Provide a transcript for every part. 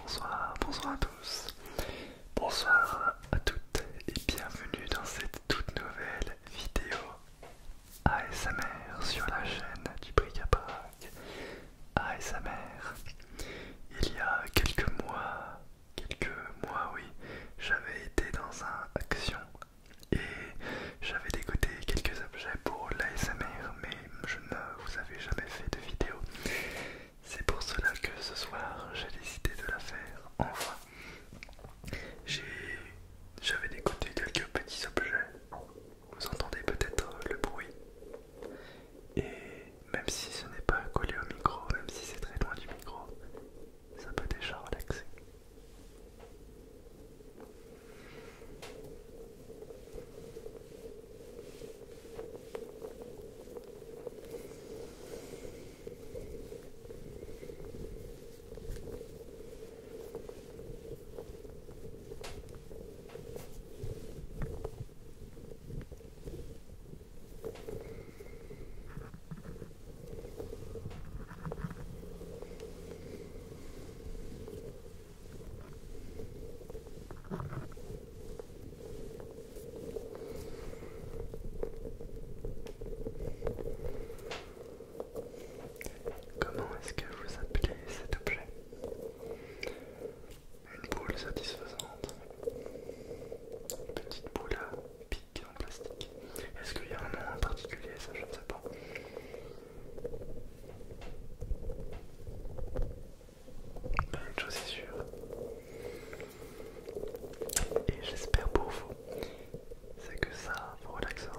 Bonsoir, bonsoir à tous, bonsoir à toutes et bienvenue dans cette toute nouvelle vidéo ASMR sur la chaîne du Bric à ASMR. Il y a quelques mois, quelques mois oui, j'avais été dans un action et j'avais dégoté quelques objets pour l'ASMR mais je ne vous avais jamais fait de vidéo. C'est pour cela que ce soir j'ai décidé de la faire enfin. J'avais dégoté quelques petits objets. Vous entendez peut-être le bruit. Et même si ce n'est pas collé au micro, même si c'est très loin du micro, ça peut déjà relaxer. Comment est-ce que vous appelez cet objet une boule satisfaisante, une petite boule à pique en plastique. Est-ce qu'il y a un nom en particulier Ça, je ne sais pas. Mais une chose est sûre, et j'espère pour vous, c'est que ça vous relaxera.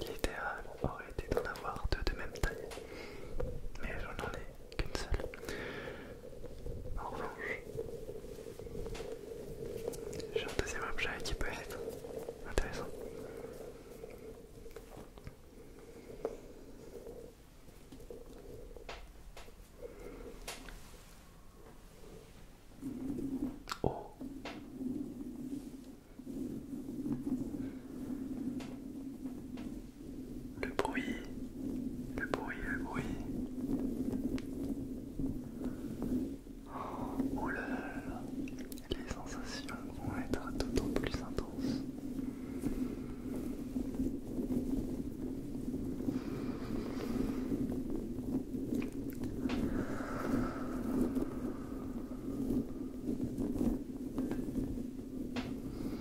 L'idéal aurait été d'en avoir deux de même taille, mais j'en ai qu'une seule. En revanche, j'ai un deuxième objet qui peut être intéressant le bruit, le bruit, le bruit. Oh les sensations vont être d'autant plus intenses.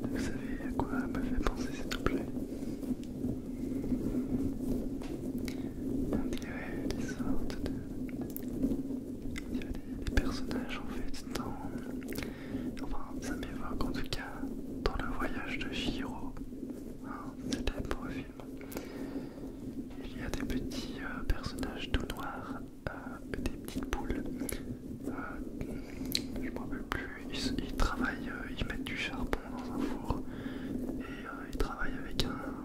Vous savez à quoi me fait penser s'il vous plaît on dirait des sortes de... On des, personnages en fait dans... Enfin, ça m'évoque en tout cas dans le voyage de Shiro, un hein, beau film. Il y a des petits euh, personnages tout noirs, euh, des petites boules. Euh, je m'en rappelle plus, ils, travaillent, ils mettent du charbon dans un four et ils travaillent avec un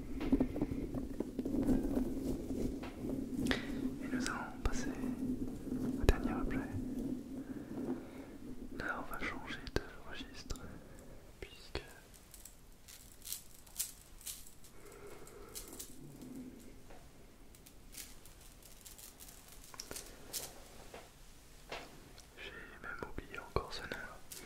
Et nous allons passer au dernier objet. Là, on va changer de registre puisque j'ai même oublié encore ce nœud.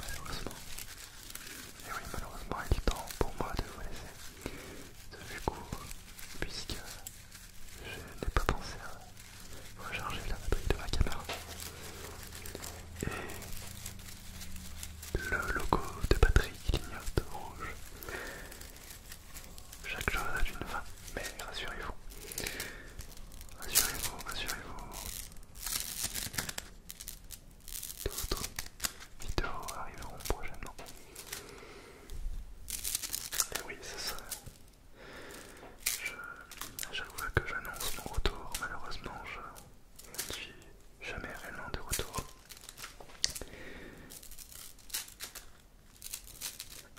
Malheureusement, et oui, malheureusement, il est temps pour moi de vous laisser de fut court, puisque je n'ai pas pensé à recharger la batterie de ma caméra. Le logo de batterie clignote rouge. Chaque jour a une fin, mais rassurez-vous. Rassurez-vous, rassurez-vous. D'autres vidéos arriveront prochainement. Et oui, c'est ça. Je, à chaque fois que j'annonce mon retour, malheureusement, je ne suis jamais réellement de retour.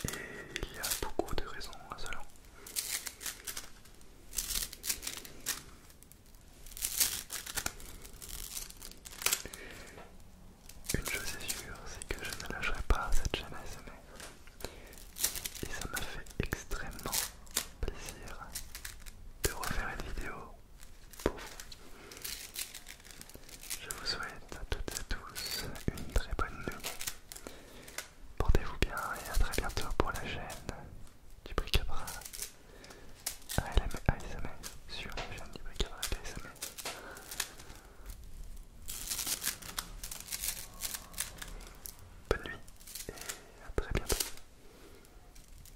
Et il y a beaucoup de raisons à cela. Une chose est sûre, c'est que je ne lâcherai pas cette chaîne Et ça m'a fait extrêmement plaisir de refaire une vidéo je vous souhaite à toutes et à tous une très bonne nuit. Portez-vous bien et à très bientôt pour la chaîne du Bricabra ASMR sur la chaîne du Bricabra ASMR. Bonne nuit et à très bientôt.